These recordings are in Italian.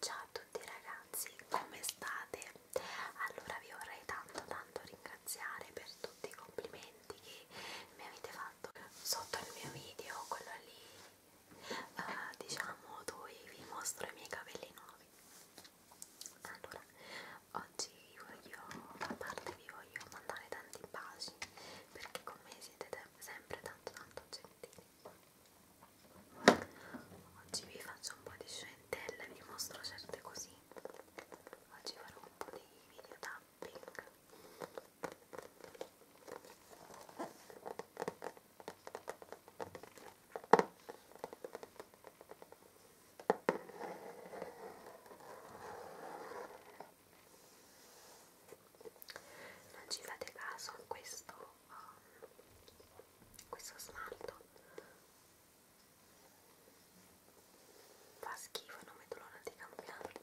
Ciao a tutti ragazzi, come state? Allora vi vorrei tanto tanto ringraziare per tutti i complimenti che mi avete fatto sotto il mio video, quello lì, uh, diciamo dove vi mostro i miei capelli nuovi. Allora, oggi vi voglio, a parte vi voglio mandare tanti baci perché con me siete sempre tanto tanto gentili scientelle oggi vi faccio un po' di scientelle vi mostro certe così oggi farò un po' di video tapping non ci fate caso a questo questo smalto fa schifo e non vedo l'ora di cambiarlo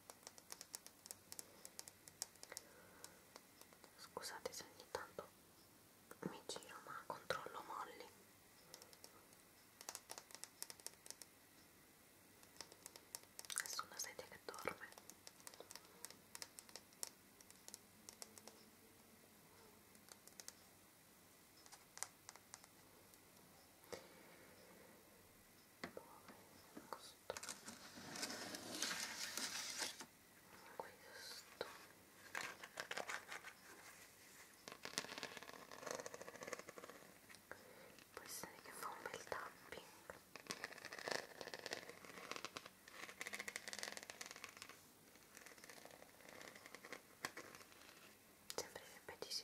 Scusate se ogni tanto mi giro, ma controllo molli. È su una sedia che dorme questo può essere che fa un bel tapping sembrerebbe di sì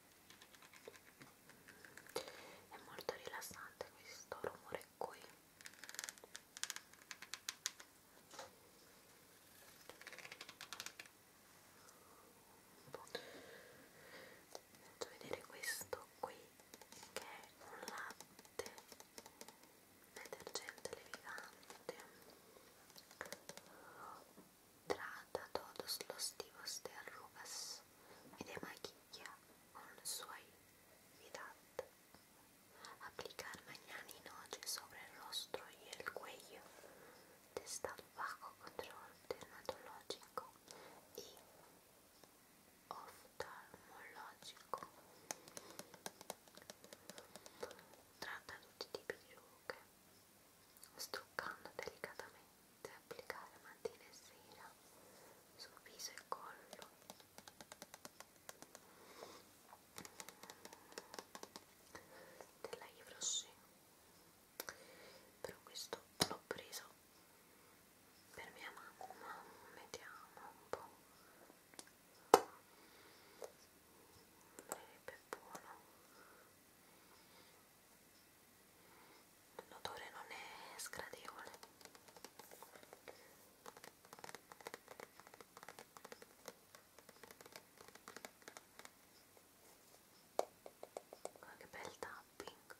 è molto rilassante questo rumore qui faccio vedere questo qui che è un latte detergente levigante Trata todos los tipos de arrugas y de con suavidad. Aplicar mañana y noche sobre el rostro y el cuello. Está bajo control dermatológico oftalmológico. Tratta tutti i tipi di rughe struccando delicatamente, applicare mattina e sera sul viso e collo. Della Yves Rocher. Però questo l'ho preso per mia mamma, vediamo un po'. Sarebbe buono l'odore non è sgradevole guarda che bel tapping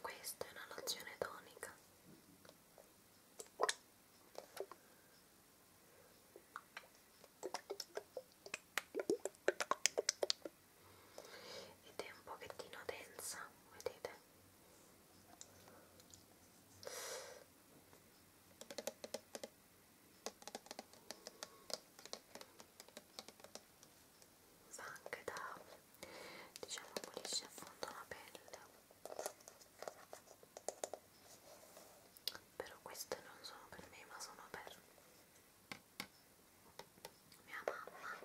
questa è una lozione tonica. Ed è un pochettino densa, vedete? fa anche da diciamo pulisce a fondo la pelle però queste non sono per me ma sono per mia mamma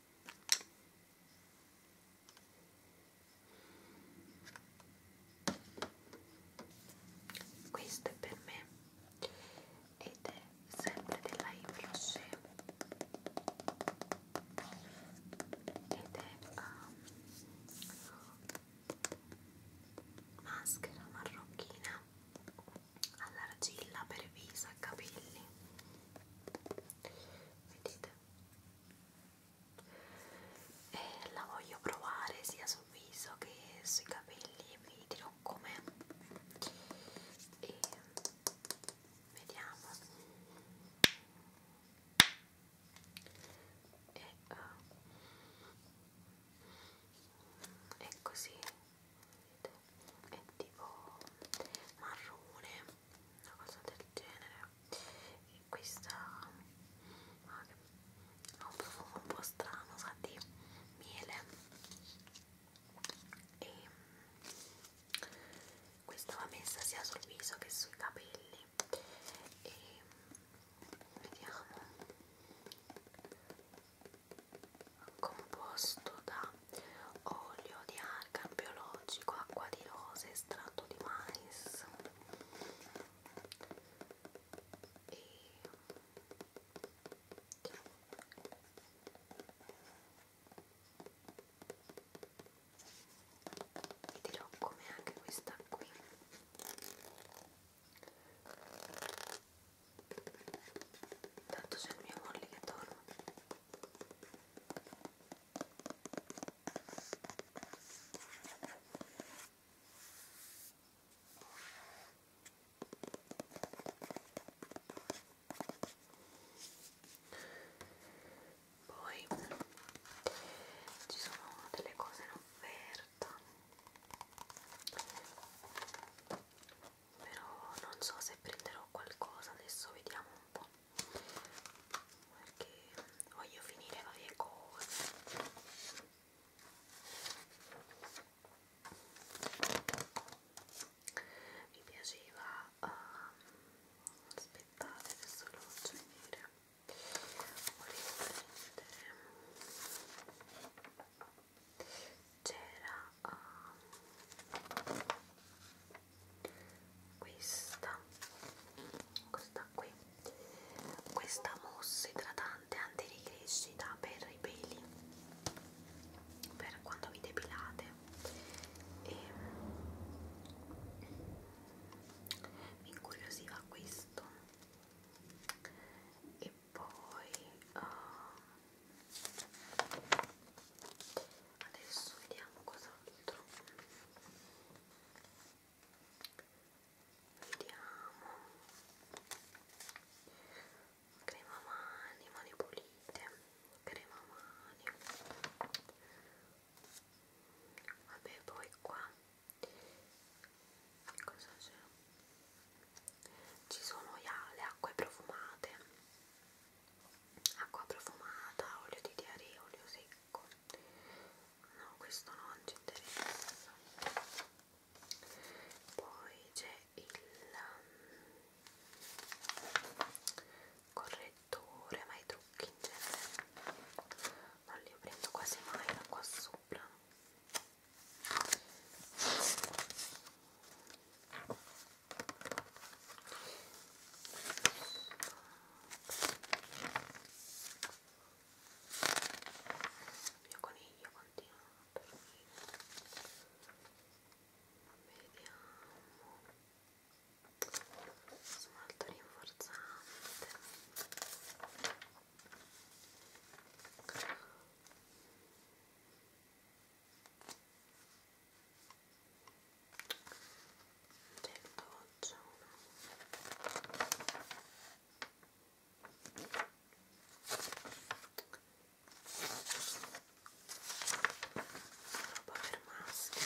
questo è per me ed è sempre della Influence ed è um, maschera marrocchina all'argilla per viso e capelli vedete e eh, la voglio provare sia sul viso che sui capelli vi dirò com'è e vediamo e, uh, è così è tipo marrone, una cosa del genere e questa ah, ha un profumo un po' strano, sa di miele e questa va messa sia sul viso che sui capelli e vediamo composto da olio di argan biologico, acqua di rose, estratto di mais e vi dirò come anche questa qui Tanto c'è il mio molli che torna. Poi ci sono delle cose in offerta però non so se prenderò qualcosa adesso vediamo un po' perché voglio finire varie cose mi piaceva um, ehm, aspettate adesso lo faccio vedere volevo prendere c'era uh, um, questa questa qui questa mousse idratante antiricrescita per i peli per quando vi depilate e mi incuriosiva questo e poi uh, adesso vediamo cos'altro vediamo crema mani mani pulite crema mani vabbè poi qua che cosa c'è? ci sono le acque profumate acqua profumata, olio di diaria, olio secco no questo non ci interessa poi c'è il um, correttore ma i trucchi in genere non li prendo quasi mai da qua sopra il mio coniglio continua a dormire. Vediamo. Smalto rinforzante. Vediamo certo c'è una roba per maschi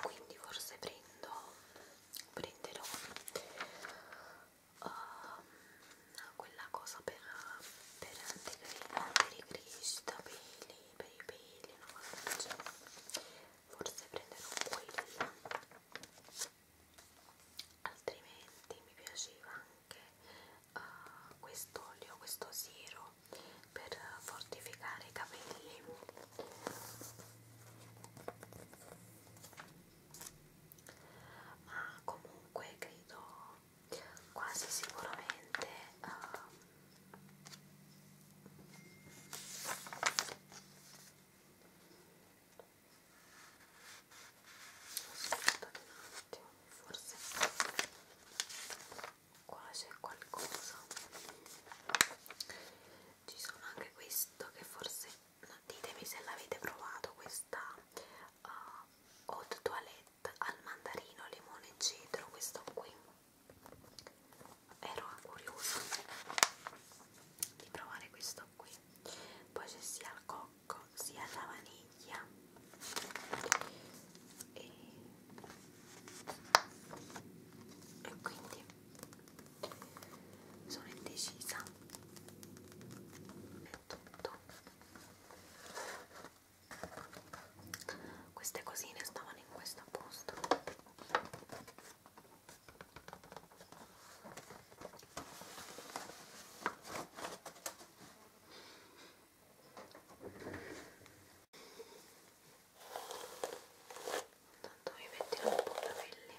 quindi forse prendo prenderò um, quella cosa per, per anticrista, per i peli, per i peli, no? forse prenderò quella altrimenti mi piaceva anche uh, quest'olio, questo siero per fortificare i capelli ma comunque credo quasi sicuramente aspettate un attimo forse qua c'è qualcosa ci sono anche questo che forse ditemi se l'avete provato questa uh, hot toilette al mandarino, limone e cedro, questo qui ero curiosa di provare questo qui poi c'è sia il cocco sia la vaniglia e, e quindi sono indecisa tutto queste cosine stavano in questo posto Tanto mi metti un po' i capelli.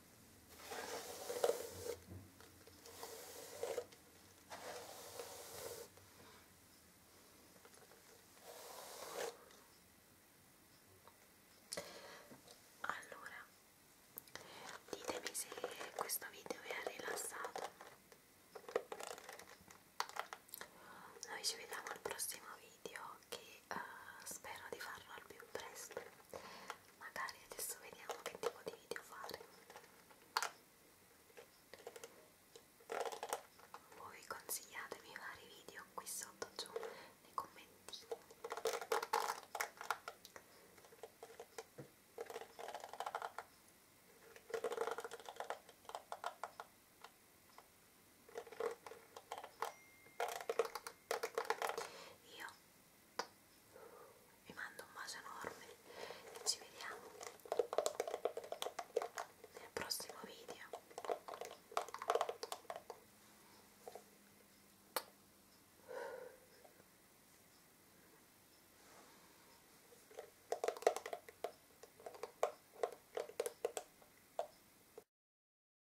Allora, ditemi se questo video vi ha rilassato. Noi ci vediamo al prossimo video che uh, spero di farlo al più presto magari adesso vediamo che tipo di video fare voi consigliatemi i vari video qui sotto giù nei commenti io vi mando un bacio enorme e ci vediamo nel prossimo video.